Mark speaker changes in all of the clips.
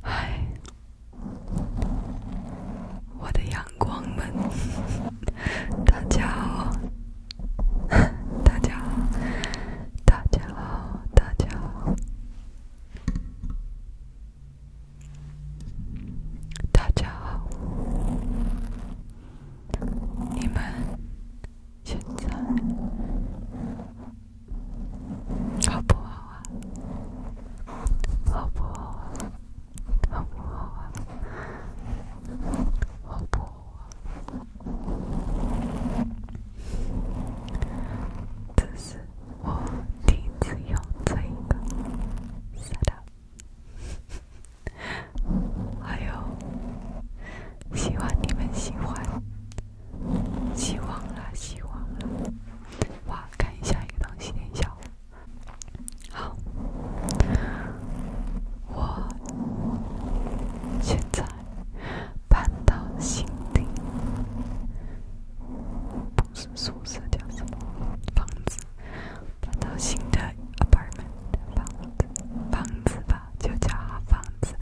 Speaker 1: 哎，我的阳光们，大家，好，大家，好，大家，好，大家，好，大家，好，你们现在。好不好啊？好不好啊？好不好啊？好不好啊？这是我第一次用这个，是的，还有希望你们喜欢。希望啦，希望啦。哇，看一下一个东西等一下。好，我现在搬到新的，不是宿舍，叫什么房子？搬到新的 apartment 房子，房子吧，就叫房子。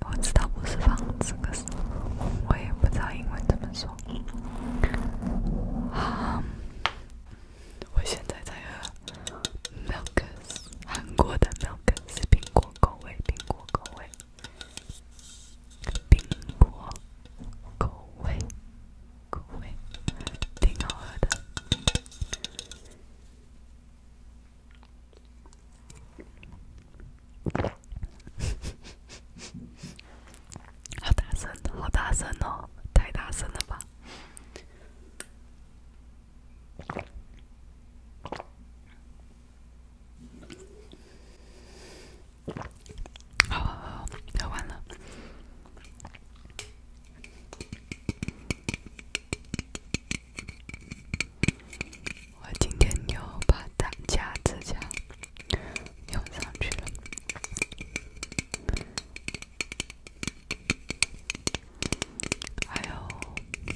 Speaker 1: 我知道不是房子，可是我也不知道英文怎么说。好，我现在在喝 m i l k 韩国的 m i l k 是苹果口味，苹果口味，苹果口味，口味，挺好喝的。好大声，好大声哦！太大声了吧！好，好，好，喝完了。我今天又把打夹子夹扭上去了。哎呦，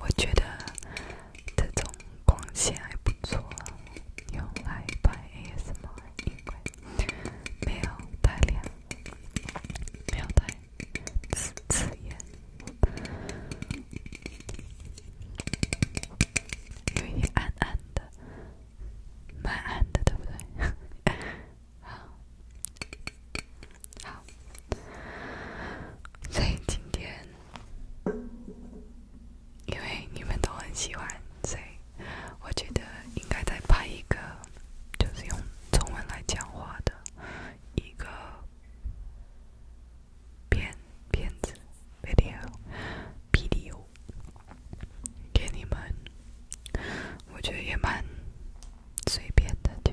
Speaker 1: 我觉得这种光线还不错，用来拍 ASMR 应该没有太亮，没有太。是自言，因为暗暗的，蛮暗的，对不对？好，好。所以今天，因为你们都很喜欢，所以我觉得应该再拍一个，就是用中文来讲话的一个。片片子，video，video，给你们，我觉得也蛮随便的，就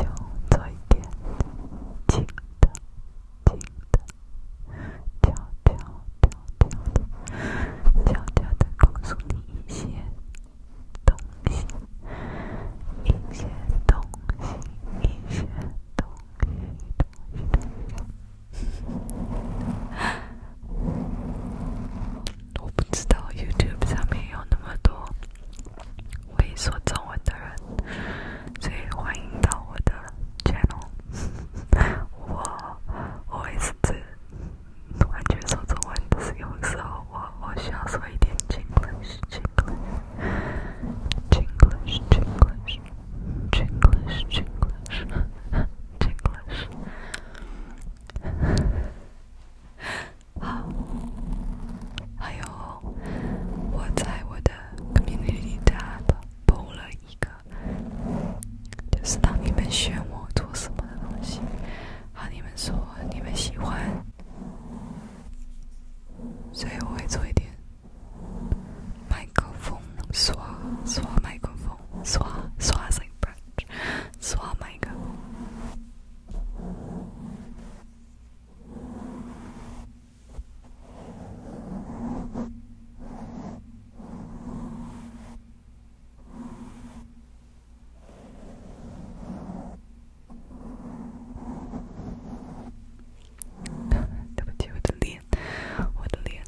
Speaker 1: 就做一点轻的、轻的、跳跳跳跳的、跳跳的，告诉你先。我不知道 YouTube 上面有那么多会说中文的人，所以欢迎到我的 Channel。我，我也是只。完全说中文，但是有时候我我需要说一点好，还有我在我的 community t 了一个，就是当你们选我做什么的东西，好，你们说你们喜欢。所以我会做一点麦克风刷刷麦克风刷刷声刷刷麦克风，对不起，我的脸，我的脸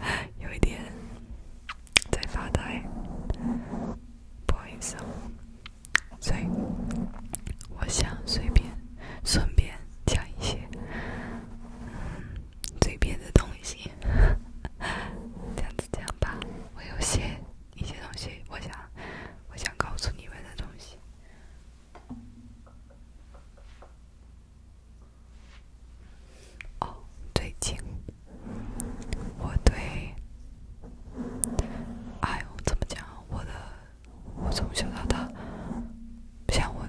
Speaker 1: 很有一点在发呆，不好意思哦。所以，我想随便顺便讲一些嘴边的东西，这样子讲吧，我有些。一些东西，我想，我想告诉你们的东西。哦，最近我对，哎，怎么讲？我的，我从小到大，像我，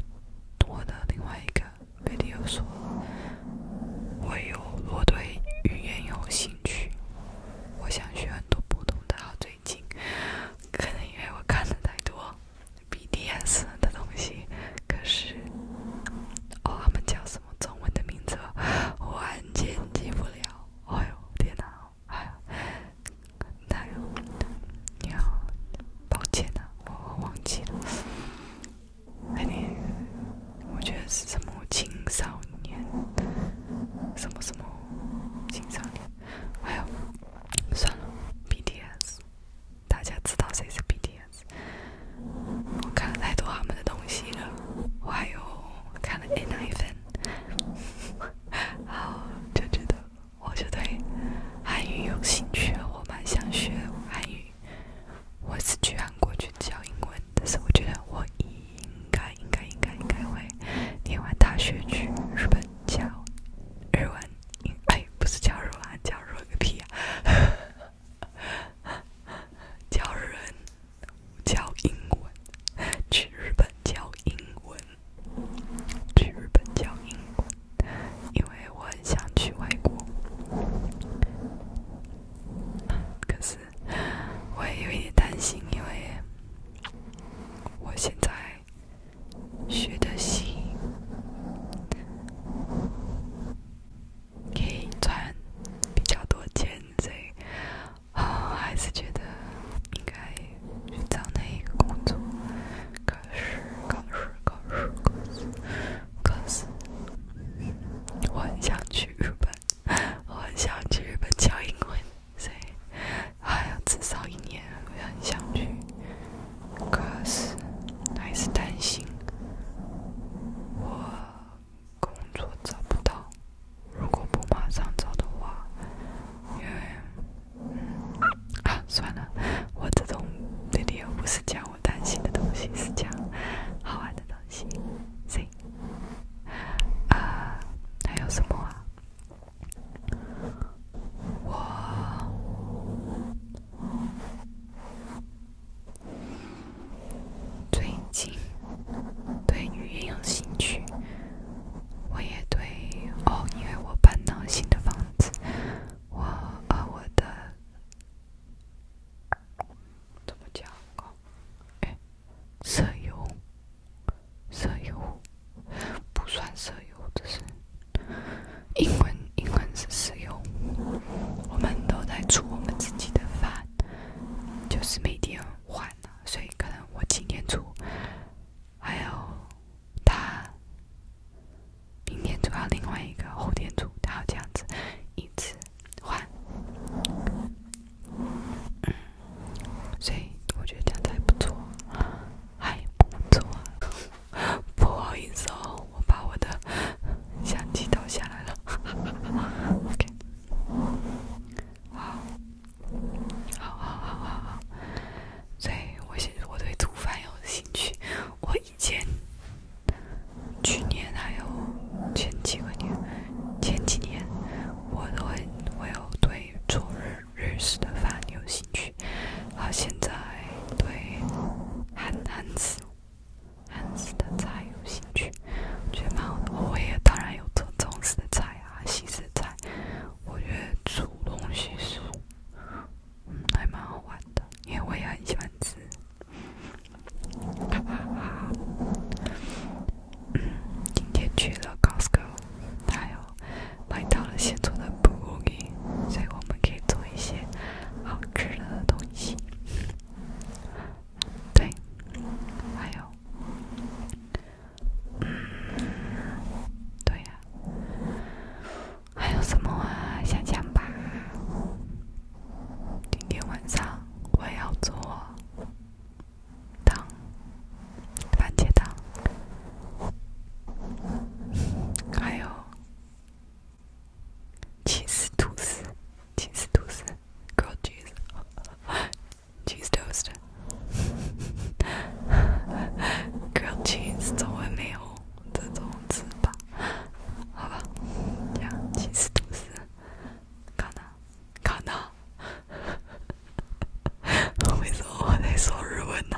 Speaker 1: 我的另外一个，没有说。我有，我对语言有兴趣。我想学很多不同的。最近可能因为我看了太多 B D S 的东西，可是哦，他们叫什么中文的名字，我完全记不了。哎呦，天哪！哎呦，哪有？你好，抱歉呐，我忘记了。哎呀。我觉得是什么青少年，什么什么青少年，哎呦，算了，BTS，大家知道谁是 BTS。我看了太多他们的东西了，我还有看了 A 奶粉，然后就觉得，我就对韩语有兴趣，我蛮想学韩语。我是去韩国去教英文，但是我觉得我应该应该应该应该会念完大学去日本教日文。哎，不是教日文，教日个屁啊！教人，教英文，去日本教英文，去日本教英文，因为我很想去外国。可是。我也有一点担心，因为我现在学的戏，可以穿比较多，间谍，还是觉得应该找那一个工作。考试，考试，考试，考试，考试。我很想去日本。我很想去日本教英文，所以还要至少一年。我很想去，可是还是担心我工作找不到。如果不马上找的话，因为啊，算了，我这种这里又不是讲我担心的东西，是讲好玩的东西，所啊，还有什么啊？我最近对语言有兴趣，我也对哦，因为我搬到新的房子，我呃，我的怎么讲？哎。舍友，舍友不算舍友，这是英文，英文是色友。我们都在煮我们自己的饭，就是每天换了，所以可能我今天煮，还有他明天煮，要另外一个，后天煮，他要这样子一直。换，所以我觉得这样子还不错，还不错。不好意思哦，我把我的相机倒下来了。OK，好，好好好好好所以，我我对做饭有兴趣。我以前去年还有前几个年，前几年。我都会我有对做日日式的饭有兴趣，而现在对韩韩式韩式的菜有兴趣，觉得蛮好的。我也当然有做中式菜啊，西式菜，我觉得煮东西是还蛮好玩的，因为我也很喜欢吃。今天去了 Costco，还有买到了现做的布谷园，所以我们可以做一些好吃的东西。对，还有，嗯，对呀，还有什么啊？想想吧，今天晚上我要做。当番茄汤还有 好吧这样起司吐司看呐，为什么我在说日文呢？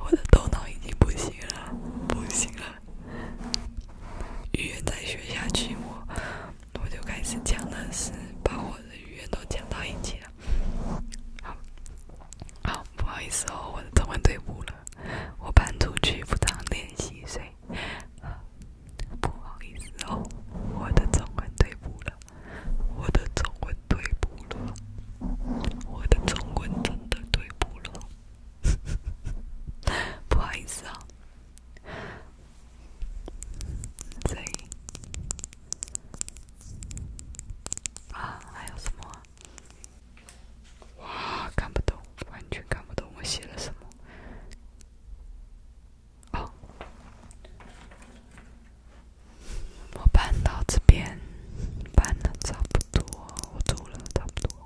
Speaker 1: 我的头脑已经不行了，不行了。语言再学下去，我我就开始讲的是把我的语言都讲到一起了。好，好，不好意思哦，我的中文退步了，我搬出去不当练习生。不好意思哦，我的中文退步了，我的中文退步了，我的中文真的退步了，不好意思啊。贼啊，还有什么？哇，看不懂，完全看不懂我写了什么。我搬到这边搬了差不多我走了差不多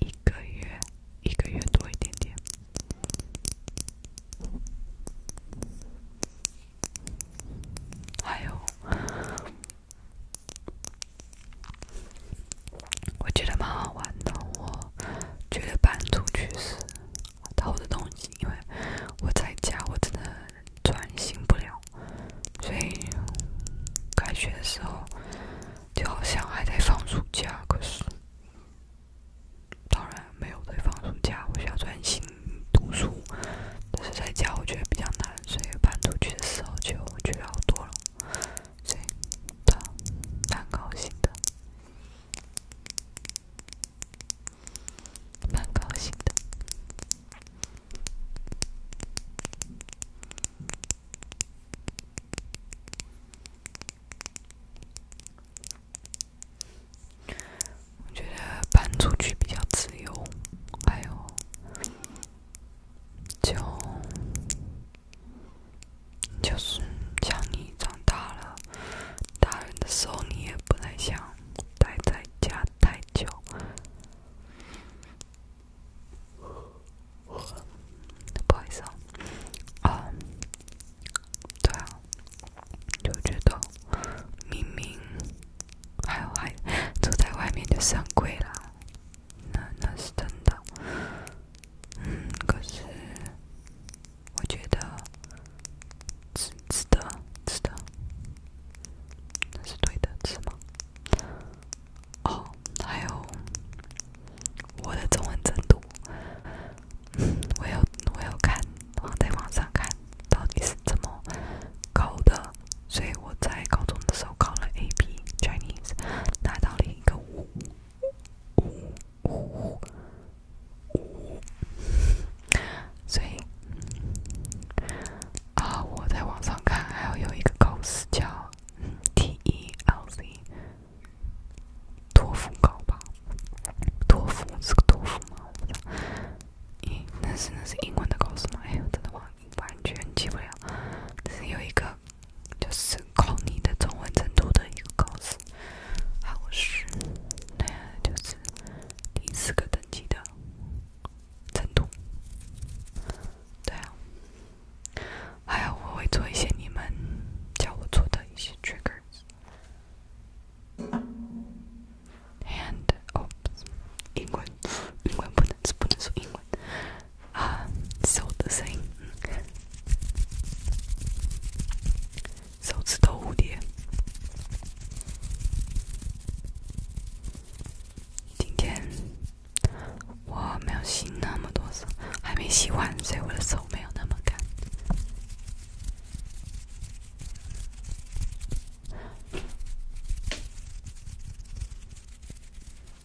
Speaker 1: 一个月，一个月多一点点。还有。我觉得蛮好玩的。我觉得搬出去是好的东西，因为我在家我真的专心不了，所以开学的时候就好像还在放暑假。可是当然没有在放暑假，我需要专心读书。但是在家我觉得比较难，所以搬出去的时候就觉得好多了。对，蛮高兴的，蛮高兴的。我觉得搬出去比较自由，还有就。就是，像你长大了，大人的时候，你也不太想待在家太久。不好意思，啊，对啊，就觉得明明还有还住在外面就算贵了，那那是真的。嗯，可是我觉得值值得，值得，那是对的，是吗？哦，还有我的中文程度，我要我要看在网上看到底是怎么搞的，所以我在高中的时候考了 a b Chinese，拿到了一个。所以啊，我在网上看，还有一个高手叫 T E L Z，托福高吧？托福是个托福吗？英那是那是英文的高手吗？哎呦，真的忘完全记不了。只是有一个。就是考你的中文程度的一个考试，还有是，对就是第四个等级的，程度，对啊，还有我会做一些你们叫我做的一些 triggers，and 哦，英语，英语不能，不能说英语。啊，手的声音，手指头蝴蝶。今天我没有洗那么多手，还没洗完，所以我的手没有那么干。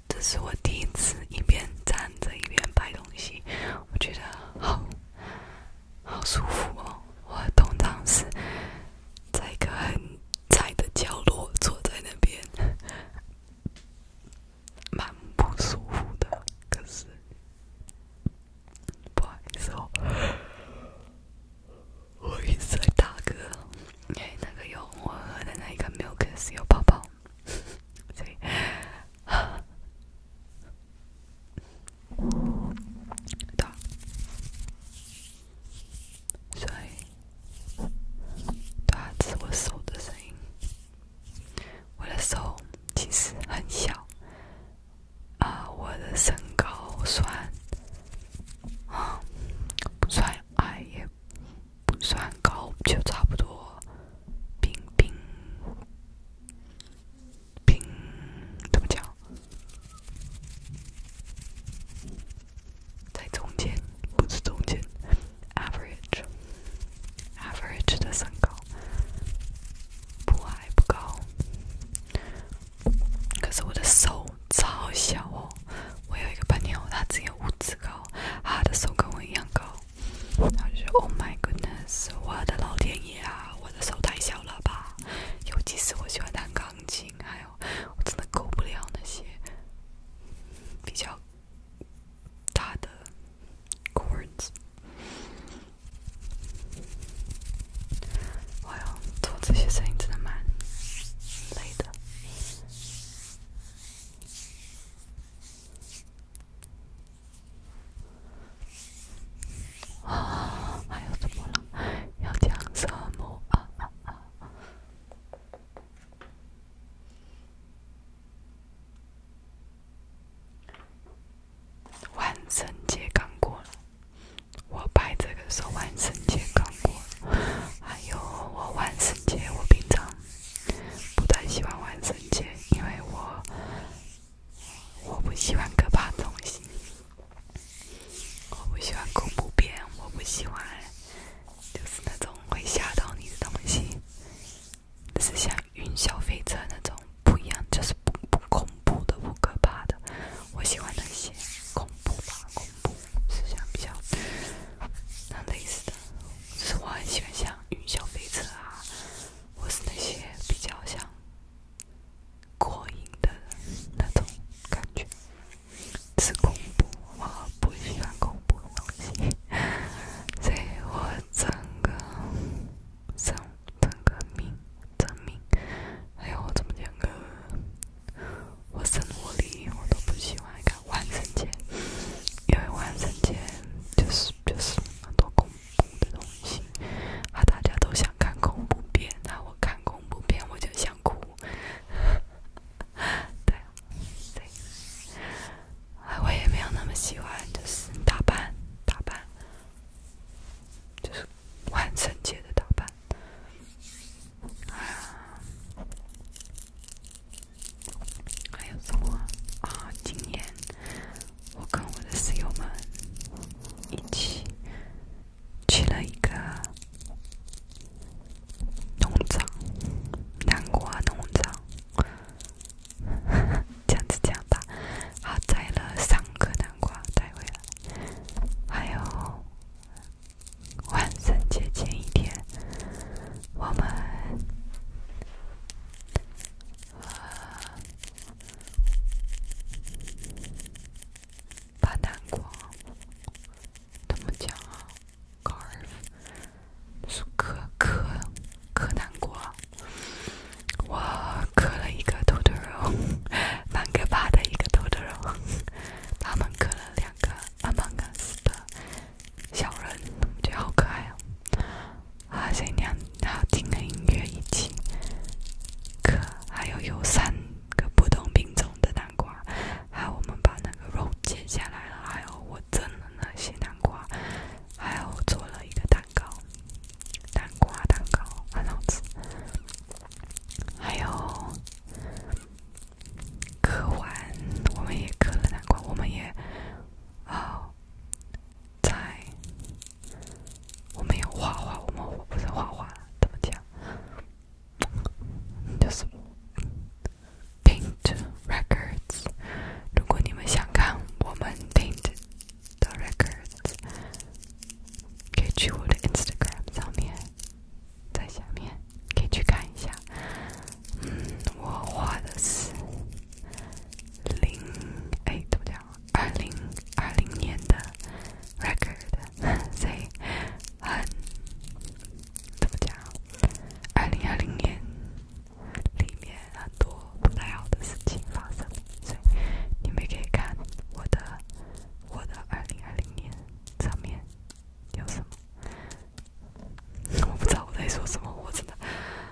Speaker 1: 这是我第一次一边站着一边拍东西，我觉得好好舒服哦。我通常是在一个很窄的角落坐在那边，蛮不舒服的。可是不好意思哦，我一直在打嗝，因为那个有我喝的那个 milk 是有泡泡。所以，多，水，多，是我手的声音。我的手其实很小，啊，我的身高算，啊，不算矮也。不算高，就差不多。冰冰冰，怎么讲？在中间，不是中间，average，average 的身高，不矮不高。可是我的手超小哦。我有一个朋友，他只有五指高，他的手跟我一样高。就说 Oh my goodness，我的老天爷啊，我的手太小了吧！尤其是我喜欢弹钢琴，还有我真的够不了那些比较大的 chords。哎呦，做这些声音真的蛮累的。啊，还有什么了？要讲什么？万圣节刚过了，我拍这个说万圣节刚过，还有我万圣节我平常。不太喜欢玩神剑，因为我我不喜欢可怕的东西，我不喜欢恐怖片，我不喜欢就是那种会吓到你的东西，是像云霄飞车那种不一样，就是不不恐怖的、不可怕的。我喜欢那些恐怖吧，恐怖是像比较那类似的。是我很喜欢像云霄飞车啊，我是那些比较像过瘾的那种感觉。是恐怖，我不喜欢恐怖的东西。所以我整个生、整个命、证明，还有我怎么讲个，我生活里，我都不喜欢看万圣节，因为万圣节就是。就是很多恐怖的东西，啊，大家都想看恐怖片，那我看恐怖片我就想哭，对，对，我也没有那么喜欢，就是打扮打扮，就是万圣节的打扮，还有我啊，今年我跟我的室友们一起去了一个农场，南瓜农场。这样子讲吧，我摘了三个南瓜，带回来，还有万圣节前一天。我们，啊，难过，他们讲啊，高尔夫是可可可难过，我磕了一个土豆肉，蛮可怕的一个土豆肉，他们磕了两个，他们磕了。小人，觉得好可爱哦！啊，今天好听的音乐一起，可还有有三个不同品种的南瓜，还有我们把那个肉切下来了，还有我蒸的那些南瓜，还有做了一个蛋糕，南瓜蛋糕很好吃。还有刻完，我们也刻了南瓜，我们也好。在，我没有画画，我们我不是画画，怎么讲？就是 paint records。如果你们想看我们 paint 的 records，可以去我的 Instagram 上面，在下面可以去看一下。嗯，我画的是零，哎，怎么讲？二零二零年的 record，所以很怎么讲？二零二零年里面很多不太好的事情发生，所以你们可以看我的我的二零二零年上面有什么。我不知道我在说什么，我真的。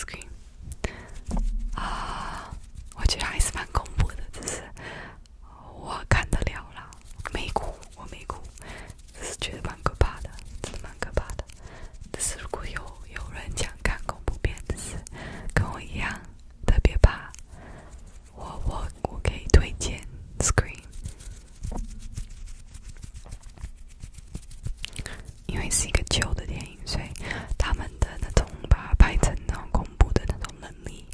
Speaker 1: Scream 啊，我觉得还是蛮恐怖的，只是我看得了啦，没哭，我没哭，只是觉得蛮可怕的，真的蛮可怕的。只是如果有有人想看恐怖片，只是跟我一样特别怕，我我我可以推荐 Scream。因为是一个旧的电影，所以他们的那种把拍成那种恐怖的那种能力，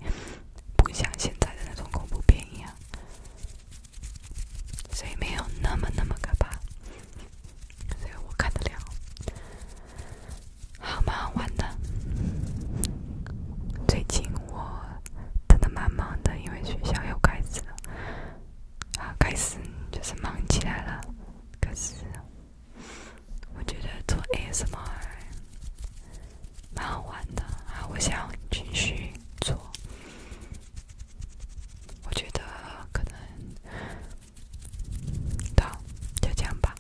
Speaker 1: 不像现在的那种恐怖片一样，所以没有那么那么可怕，所以我看得了。好嘛，玩的。最近我真的蛮忙的，因为学校又开始了。啊，开始就是忙起来了。可是，我觉得做 a s m 蛮好玩的啊，我想继续做。我觉得可能到就这样吧。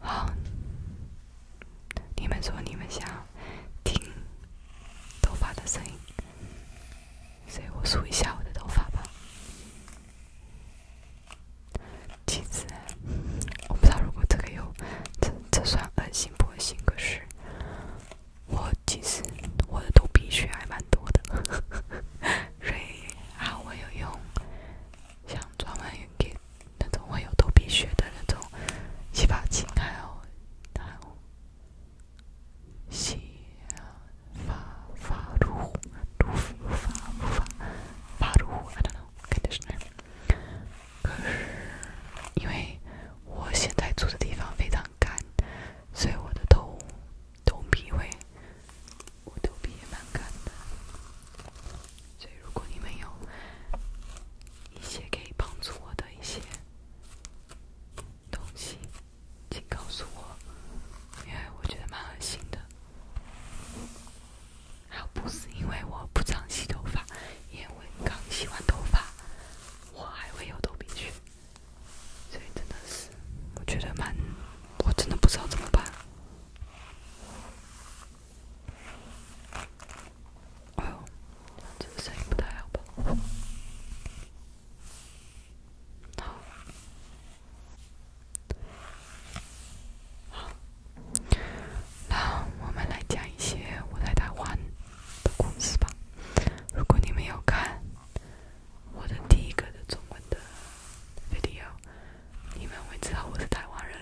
Speaker 1: 好，你们说你们想听头发的声音。所以，我梳一下我的头发吧。其实，我不知道如果这个有，这这算恶心不恶心？可是，我其实我的头皮屑还蛮多的，所以啊，我有用像专门给那种会有头皮屑的那种洗发精，还有还有。是发发秃秃发秃发秃发秃，I don't k n o w k i n d 可是因为我现在住的地方非常干，所以我的头头皮会，我头皮也蛮干的。所以如果你们有一些可以帮助我的一些东西。请告诉我，因为我觉得蛮恶心的。还不是因为我不常洗头发，因为刚洗完头发，我还会有头皮屑，所以真的是我觉得蛮，我真的不知道怎么办。哎呦，这个声音不太好吧？那我们来讲一些我在台湾的故事吧。如果你没有看我的第一个的中文的 video，你们会知道我是台湾人。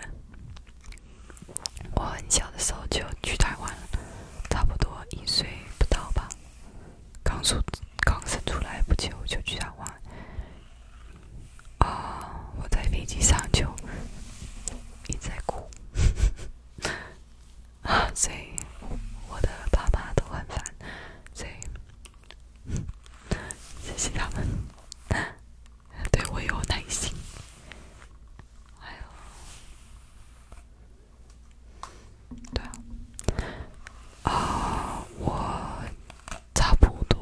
Speaker 1: 我很小的时候就去台湾了，差不多一岁不到吧。刚出刚生出来不久就去玩，啊！我在飞机上就一直在哭，啊！所以我的爸妈都很烦，所以谢谢他们对我有耐心，还有。对啊，我差不多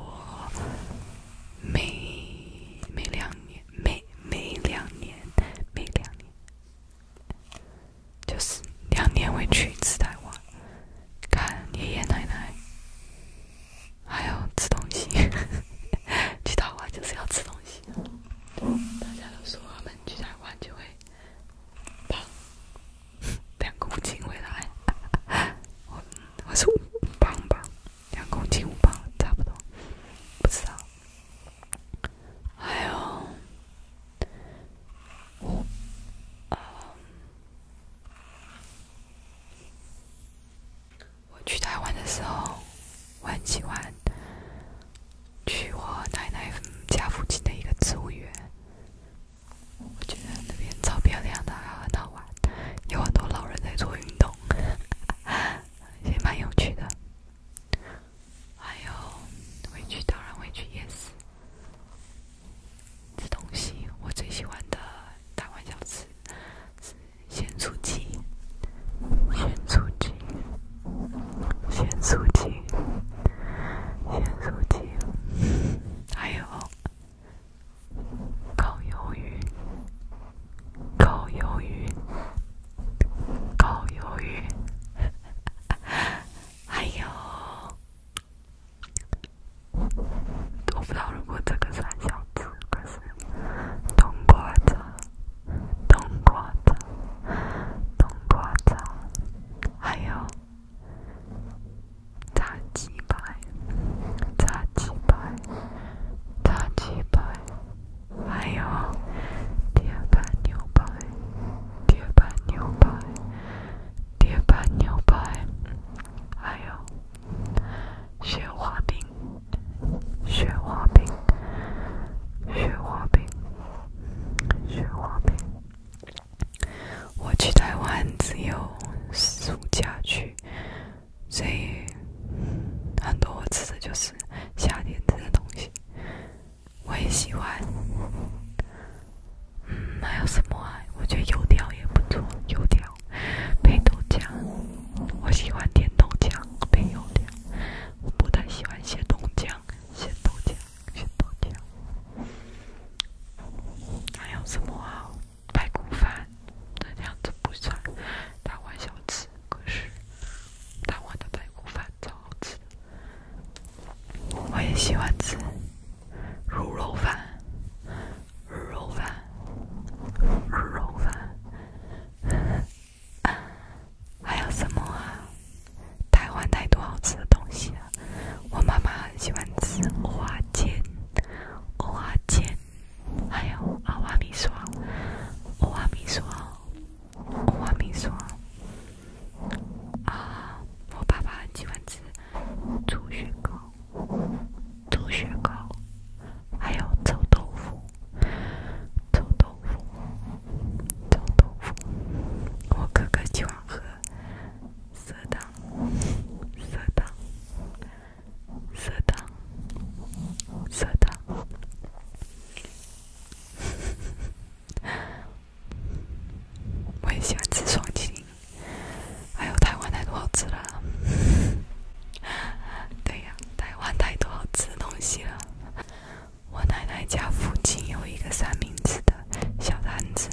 Speaker 1: 每每两年、每每两年、每两年，就是两年会去一次台湾，看爷爷奶奶，还有吃东西。去台湾就是要吃东西，大家都说我们去台湾就会。两公斤回来，我是五磅吧，两公斤五磅差不多，不知道。还有，我，嗯，我去台湾的时候，我很喜欢。去我奶奶家附近的一个植物园，我觉得那边超漂亮的，很好玩，有很多老人在做运动，也蛮有趣的。还有回去，当然回去，yes。吃东西，我最喜欢的台湾小吃是咸酥鸡，咸酥鸡。咸酥鸡，咸酥鸡，还有烤鱿鱼，烤鱿鱼，烤鱿鱼，还有……我不知道如果这个算小吃，可是冬瓜茶，冬瓜茶，冬瓜茶。还有炸鸡排，炸鸡排，炸鸡排，还有铁板牛排，铁板牛排，铁板牛排，还有雪花饼，雪花饼，雪花饼，雪花饼。我去台湾只有暑假去，所以很多我吃的就是夏天吃的东西，我也喜欢。嗯，还有什么啊？我觉得油条也不错，油条配豆浆，我喜欢甜豆浆配油条。我不太喜欢咸豆浆，咸豆浆。先爆掉。还有什么啊？排骨饭，这样子不算。大碗小吃，可是大碗的排骨饭超好吃我也喜欢吃。肉肉饭，肉肉饭，肉肉饭。还有什么啊？台湾太多好吃的东西了。我妈妈很喜欢吃花煎、花煎，还有阿瓦米霜、阿华米霜、阿华米霜。啊，我爸爸很喜欢吃猪血糕、猪血糕，还有臭豆腐、臭豆腐、臭豆腐。我哥哥喜欢喝。色的，色的，色的，色的。我也喜欢吃双皮还有台湾太多好吃的了。对呀，台湾太多好吃的东西了。我奶奶家附近有一个三明治的小摊子，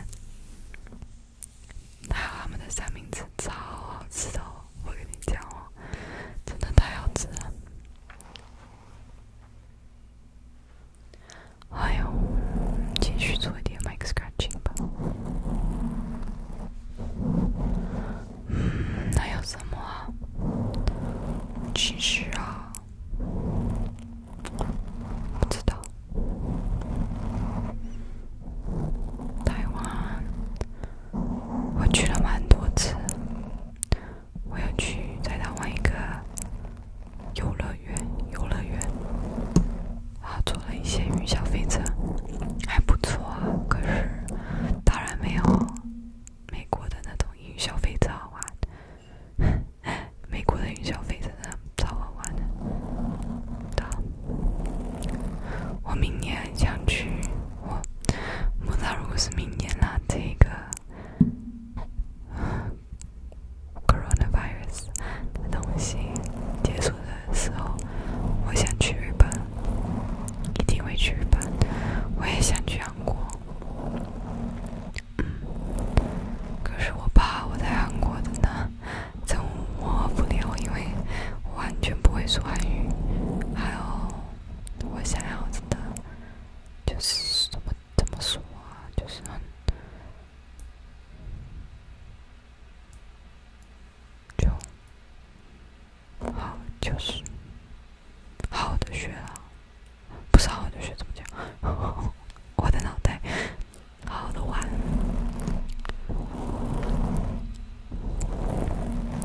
Speaker 1: 他们的三明治超好吃的，我跟你讲哦，真的太好吃了。哎呦，继续做点 mic scratching 吧。嗯，那有什么啊？其实啊。知道。台湾，我去了蛮多次。我要去在台湾一个游乐园，游乐园，啊，坐了一些云霄飞车，还不错。可是，当然没有美国的那种云消费者好玩。美国的营销费真的超好玩的，到。我明年想去，我，那如果是明年那个 coronavirus 的东西结束的时候，我想去日本，一定会去日本。我也想去韩国。可是我怕我在韩国的呢，真摸不了，因为我完全不会说韩语。还有，我想要的就是怎么怎么说啊，就是很就好，就是好的学啊。不是好好去学怎么讲，我的脑袋，好好的玩，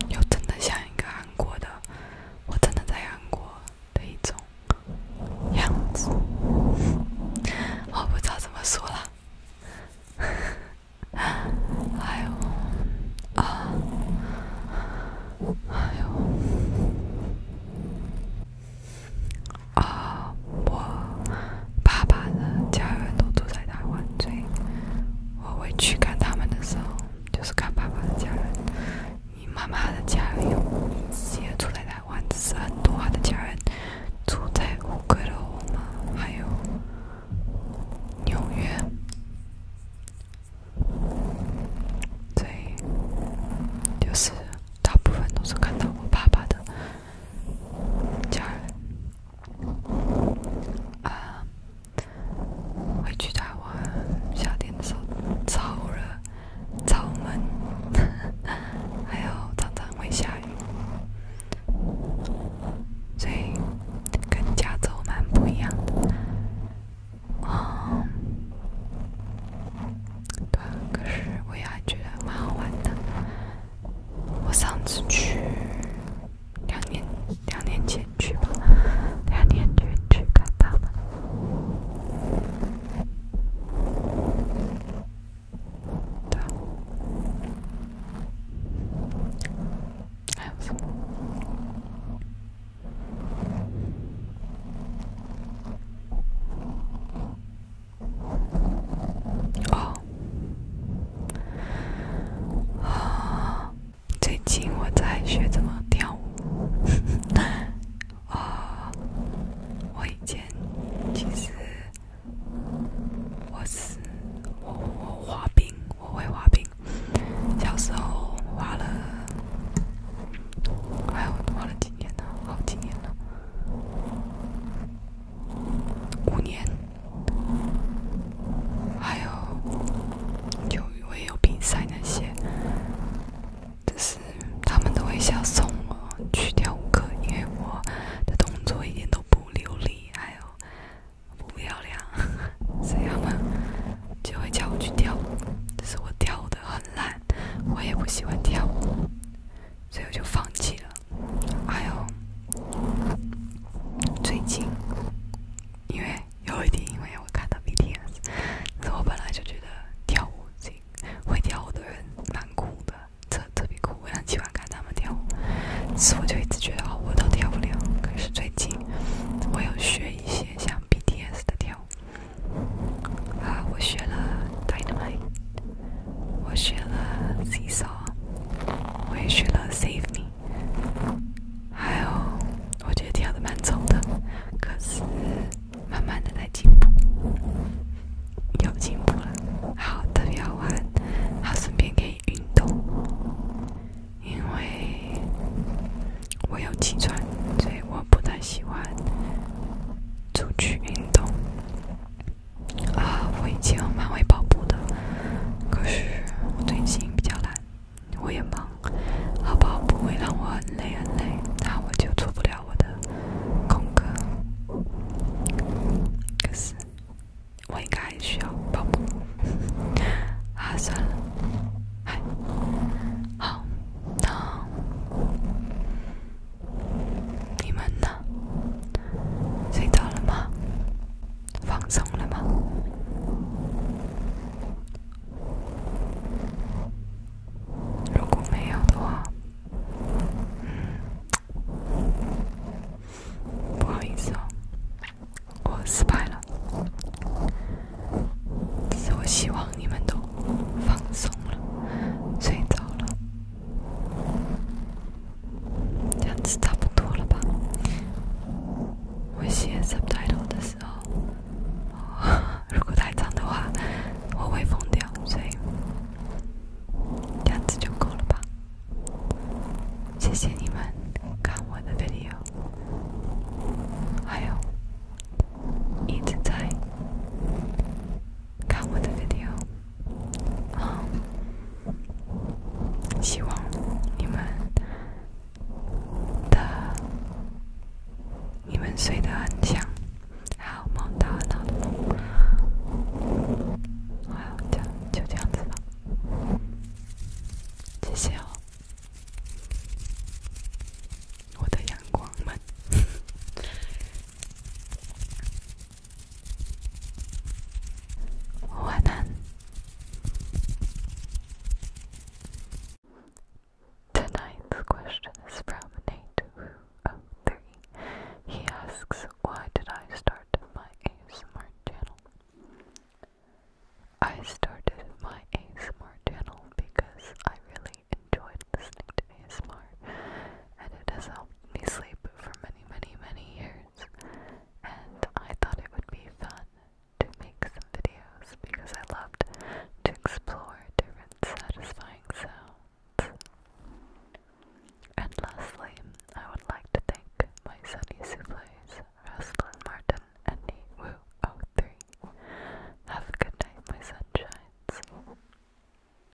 Speaker 1: 又真的像一个韩国的，我真的在韩国的一种样子，我不知道怎么说了，哎呦，啊，哎呦。啊，我爸爸的家人都住在台湾，所以我回去看他们的时候，就是看爸爸的家人。你妈妈的家人有也住在台湾，只是很多他的家人住在乌龟木齐嘛，还有纽约，对，就是。大部分都是看到我爸爸的，家人。啊，会去台湾。夏天的时候超热、超闷，还有常常会下雨，所以跟加州蛮不一样的。啊。对，可是我也还觉得蛮好玩的。我上次去两年，两年前去吧，两年前去看到的。对。还有什么？哦，啊！最近我在学怎么跳舞。啊，我以前其实我是我我滑冰，我会滑冰。小时候滑了，哎呦，滑了几年呢？好几年了。五年，还有就我也有比赛那些，就是他们都会想送我去跳舞课，因为我的动作一点都不流利，还有不漂亮，所以他们就会叫我去跳舞，但是我跳的很烂，我也不喜欢跳舞。所以我就放弃了。还有，最近，因为有一点，因为我看到 BTS，我本来就觉得跳舞，这会跳舞的人蛮酷的，特特别酷，我很喜欢看他们跳舞。是我就一直觉得哦，我都跳不了。可是最近，我有学一些像 BTS 的跳舞，啊，我学了《Dynamite》。我学了 s e s a w 我也学了 save me，还有我觉得跳的蛮丑的，可是慢慢的在进步，有进步了，好特别好玩，好，顺便可以运动，因为我有气喘，所以我不太喜欢出去运动。啊，我以前蛮会跑步的，可是我最近比较懒，我也忙，好，跑步会让我很累很累，那我就做不了我的功课。可是我应该需要跑步，啊，算了，嗨，好，那。你们呢？睡着了吗？放松了吗？如果没有的话，嗯，不好意思哦，我失败了。所以我希望你们都放松了，睡着了。这样子差不多了吧？我写 s u b t i t l e 的时候，如果太脏的话，我会疯掉，所以这样子就够了吧？谢谢你们看我的 video，还有一直在。看我的 video，希望你们的你们睡得很香，还有梦到很好的梦。好，就就这样子吧，谢谢哦，我的阳光们。Tonight's question is from Nate of oh, He asks, why did I start my Smart channel? I started my Smart channel because I really enjoyed listening to to smart, and it has helped me sleep for many, many, many years. And I thought it would be fun to make some videos because I loved to explore different satisfying sounds. And lastly, I would like to thank my Sunny Souffles, Roslyn Martin, and Niwoo03. Have a good night, my sunshines.